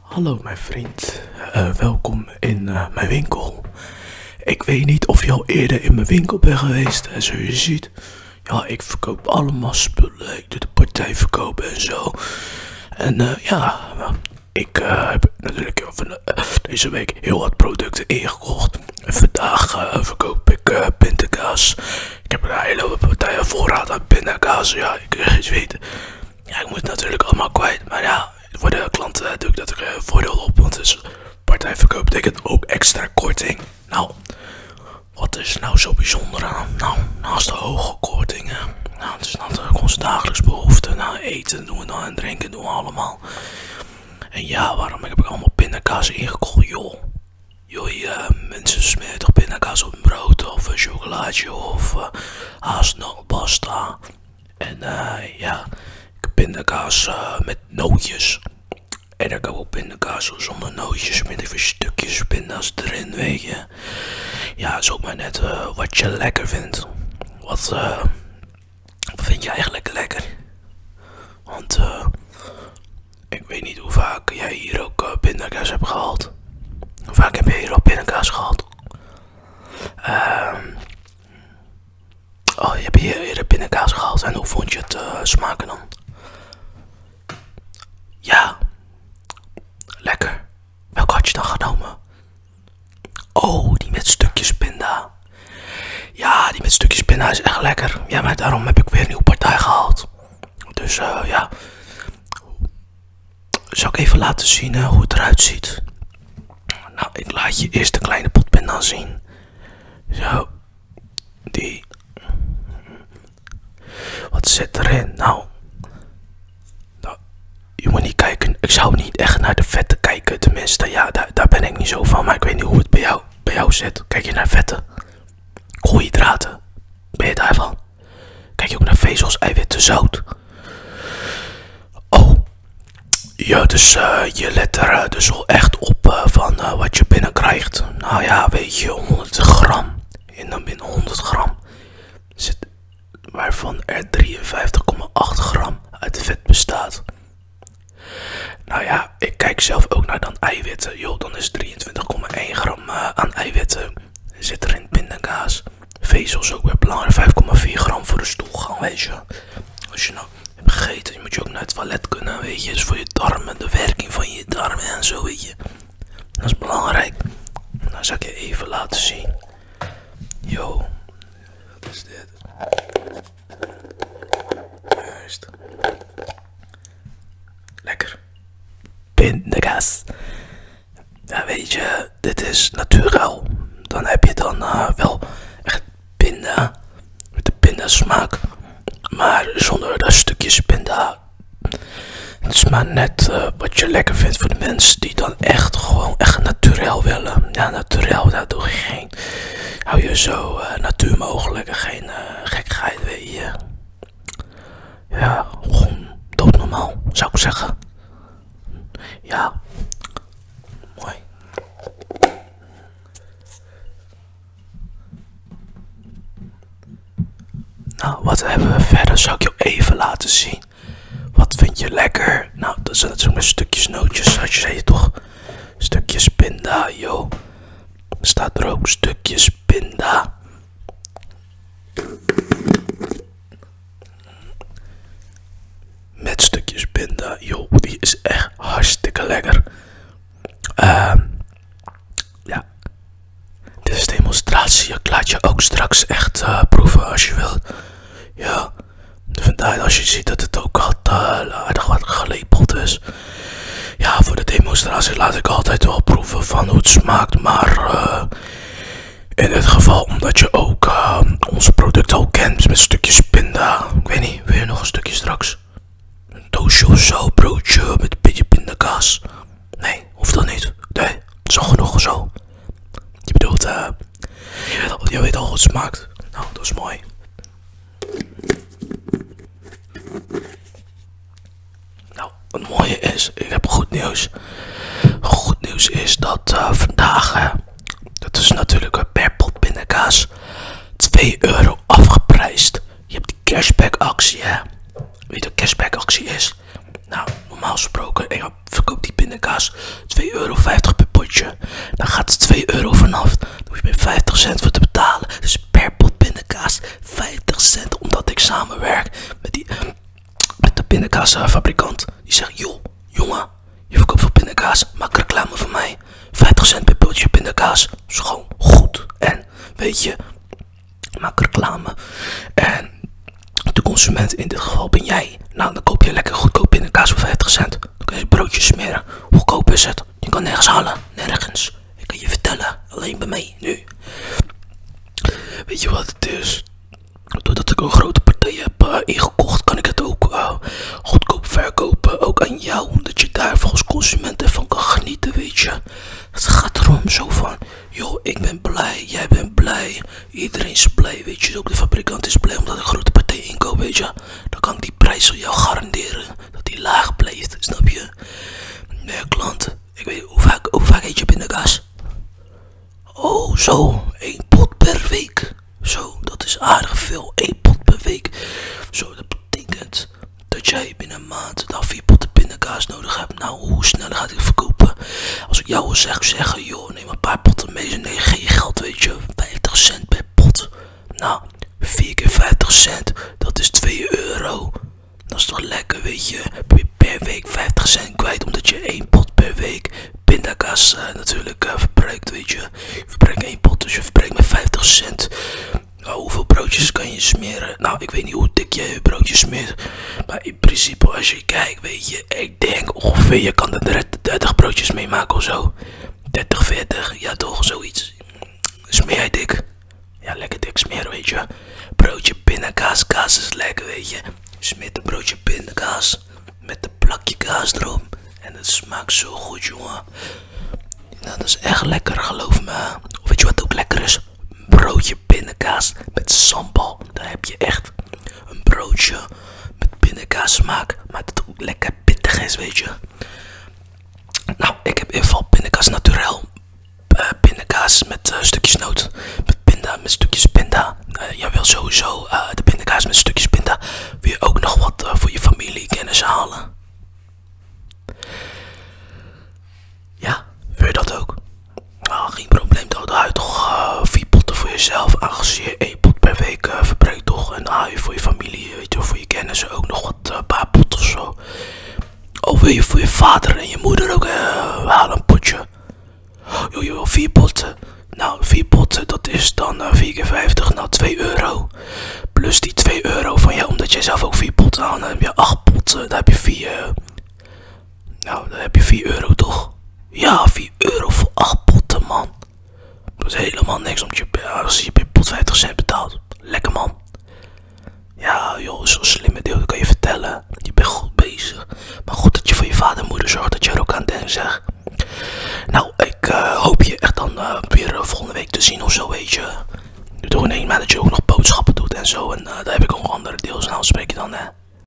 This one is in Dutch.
Hallo mijn vriend, eh, welkom in eh, mijn winkel. Ik weet niet of je al eerder in mijn winkel bent geweest, En zoals je ziet. Ja, ik verkoop allemaal spullen, ik doe de partij verkopen en zo. En eh, ja, ik heb natuurlijk deze week heel wat producten ingekocht. En vandaag verkoop ik pindakaas. Ik heb een hele partijen voorraad aan pindakaas, ja, ik weet ja, ik moet natuurlijk allemaal kwijt. Maar ja, voor de klanten eh, doe ik dat er eh, voordeel op. Want is dus partijverkoop betekent ook extra korting. Nou, wat is nou zo bijzonder aan? Nou, naast de hoge kortingen. Nou, het is natuurlijk eh, onze dagelijks behoefte. Nou, eten doen we dan en drinken doen we allemaal. En ja, waarom heb ik allemaal pindakaas ingekocht, joh? Joh, mensen smeer toch op brood of een chocolaatje of pasta en eh, ja, pindakaas eh, met nootjes. En ik heb ook pindakaas zonder nootjes, met even stukjes pinda's erin, weet je. Ja, zoek maar net eh, wat je lekker vindt. Wat, vind je eigenlijk lekker? Want ik weet niet hoe vaak jij hier ook uh, pindakaas hebt gehaald. Vaak heb je hier al binnenkaas gehad. Ehm, oh, je hebt hier eerder binnenkaas gehaald en hoe vond je het eh, smaken dan? Ja, lekker. Welke had je dan genomen? Oh, die met stukjes pinda. Ja, die met stukjes pinda is echt lekker. Ja, maar daarom heb ik weer een nieuwe partij gehaald. Dus eh, ja, zal ik even laten zien hoe het eruit ziet. Nou, ik laat je eerst de kleine dan zien. Zo, die. Wat zit erin? Nou. nou, je moet niet kijken. Ik zou niet echt naar de vetten kijken. Tenminste, ja, daar, ben ik niet zo van. Maar ik weet niet hoe het bij jou, bij jou zit. Kijk je naar vetten? Koolhydraten. Ben je daarvan? Kijk je ook naar vezels, eiwit zout. Oh, ja, dus eh, je let er eh, dus wel echt op eh, van wat je binnen krijgt. Nou ja, weet je, 100 gram. En dan binnen 100 gram zit waarvan er 53,8 gram uit vet bestaat. Nou ja, ik kijk zelf ook naar dan eiwitten. Joh, dan is 53,8 22,1 gram eh, aan eiwitten zit er in pindakaas. Vezels ook weer belangrijk, 5,4 gram voor de stoelgang, weet je. Als je nou hebt gegeten, je moet je ook naar het toilet kunnen, weet je. voor je darmen, de werking van je darmen en zo, weet je. Dat is belangrijk. Dan zal ik je even laten zien. Yo, wat is dit? Juist. Lekker. Pindagas. Ja, weet je, dit is natuurlijk. Dan heb je dan eh, wel echt pinda. Met de pindasmaak. Maar zonder dat stukjes pinda. Het is maar net eh, wat je lekker vindt voor de mensen die dan echt gewoon echt natuurlijk willen. Ja, natuurlijk, daar doe je Hou je zo eh, natuur mogelijk en geen gekheid, weet je ja, gewoon normaal zou ik zeggen. Ja, mooi. Nou, wat hebben we verder? Zou ik jou even laten zien. Wat vind je lekker? Nou, dat zijn natuurlijk stukjes nootjes, had je zei toch? Stukjes pinda, joh staat er ook stukjes pinda. Met stukjes pinda, joh, die is echt hartstikke lekker. Ehm, ja, dit is demonstratie. Ik laat je ook straks echt eh, proeven als je wil Ja, vandaar als je ziet dat het ook al eh, aardig wat gelepeld is ja, voor de demonstratie laat ik altijd wel proeven van hoe het smaakt. Maar eh, in dit geval omdat je ook eh, onze producten al kent met stukjes pinda. Ik weet niet, wil je nog een stukje straks? Een doosje of zo, broodje met een beetje pindakaas. Nee, hoeft dat niet. Nee, het is al genoeg zo. Je bedoelt, eh, je, weet al hoe het smaakt. Nou, dat is mooi. Nou, het mooie is, ik heb goed nieuws. Goed nieuws is dat eh, vandaag, dat is natuurlijk per pot binnenkaas 2 euro afgeprijsd. Je hebt die cashback actie, hè? Weet je wat cashback actie is? Nou, normaal gesproken, ik verkoop die binnenkaas 2,50 euro per potje. Dan gaat het 2 euro vanaf dus hoef je 50 cent voor te betalen. Dus per pot binnenkaas 50 cent. Omdat ik samenwerk met, die, met de binnenkaasfabrikant Die zegt, joh, jongen, je verkoopt veel binnenkaas Maak reclame voor mij. 50 cent per potje pindakaas. is goed. En, weet je, maak reclame. En de consument, in dit geval ben jij. Nou, dan koop je lekker goedkoop binnenkaas voor 50 cent. Dan kun je broodjes smeren. Hoe koop is het? Je kan nergens halen. Nergens. Ik kan je vertellen. Alleen bij mij. Nu. Weet je wat het is? Doordat ik een grote partij heb eh, ingekocht, kan ik het ook eh, goedkoop verkopen. Ook aan jou, omdat je daar volgens consumenten van kan genieten, weet je. Het gaat erom zo van, joh, ik ben blij, jij bent blij, iedereen is blij, weet je. Dus ook de fabrikant is blij omdat ik een grote partij inkoop, weet je dan kan die prijs voor jou garanderen dat die laag blijft, snap je? Nee, klant, ik weet hoe vaak, hoe vaak eet je pindakaas? Oh, zo, één pot per week. Zo, dat is aardig veel, Eén pot per week. Zo, dat betekent dat jij binnen een maand dan nou vier potten pindakaas nodig hebt. Nou, hoe snel gaat hij verkopen? Als ik jou wil zeg, zeggen, joh, neem een paar potten mee, ze nee, geen geld, weet je, 50 cent per pot. Nou, 4 keer 50 cent, dat is 2 euro. Dat is toch lekker, weet je. Per week 50 cent kwijt, omdat je één pot per week pindakaas eh, natuurlijk eh, verbruikt, weet je. Je verbruikt één pot, dus je verbruikt maar 50 cent. Nou, hoeveel broodjes kan je smeren? Nou, ik weet niet hoe dik je broodje smeert. Maar in principe, als je kijkt, weet je, ik denk ongeveer, je kan er 30 broodjes mee maken of zo. 30, 40, ja toch, zoiets. Smeer je dik? Ja, lekker dik smeren, weet je. Broodje binnenkaas, kaas is lekker, weet je. Smeer een broodje binnenkaas met een plakje kaas erom En het smaakt zo goed, jongen. Nou, dat is echt lekker, geloof me. Of weet je wat ook lekker is? Broodje binnenkaas met sambal. Daar heb je echt een broodje met pindakaas smaak, maar dat ook lekker pittig is, weet je. Nou, ik heb in ieder geval pindakaas naturel. Uh, met eh, stukjes noot. Met pinda, met stukjes pinda. Eh, jij wil sowieso de pindakaas met stukjes pinda. weer ook nog wat voor je familie kennis halen? Ja, wil je dat ook? Ah, geen probleem, dan hou je toch vier potten voor jezelf. Aangezien pot per week eh, verbruik toch. En dan je voor je familie, weet je, voor je kennissen ook nog wat uh, paar pot of zo. Of wil je voor je vader en je moeder ook uh, eh, halen een potje. Joh, je wil vier potten. Nou, vier potten, dat is dan uh, keer 50, nou 2 euro. Plus die 2 euro van je omdat jij zelf ook vier potten aan, dan heb je acht potten, dan heb je vier nou, dan heb je 4 euro toch? Ja, 4 euro voor 8 potten, man. Dat is helemaal niks, om je, als je bij pot 50 cent betaalt. Lekker, man. Ja, joh, zo'n slimme deel, kan je vertellen. Je bent goed bezig. Maar goed dat je voor je vader en moeder zorgt dat je er ook aan denkt, Nou, ik eh, hoop je echt dan eh, weer eh, volgende week te zien of zo, weet je. Doe in één maand dat je ook nog boodschappen doet en zo. En daar heb ik ook andere deels. Nou, spreek je dan, hè.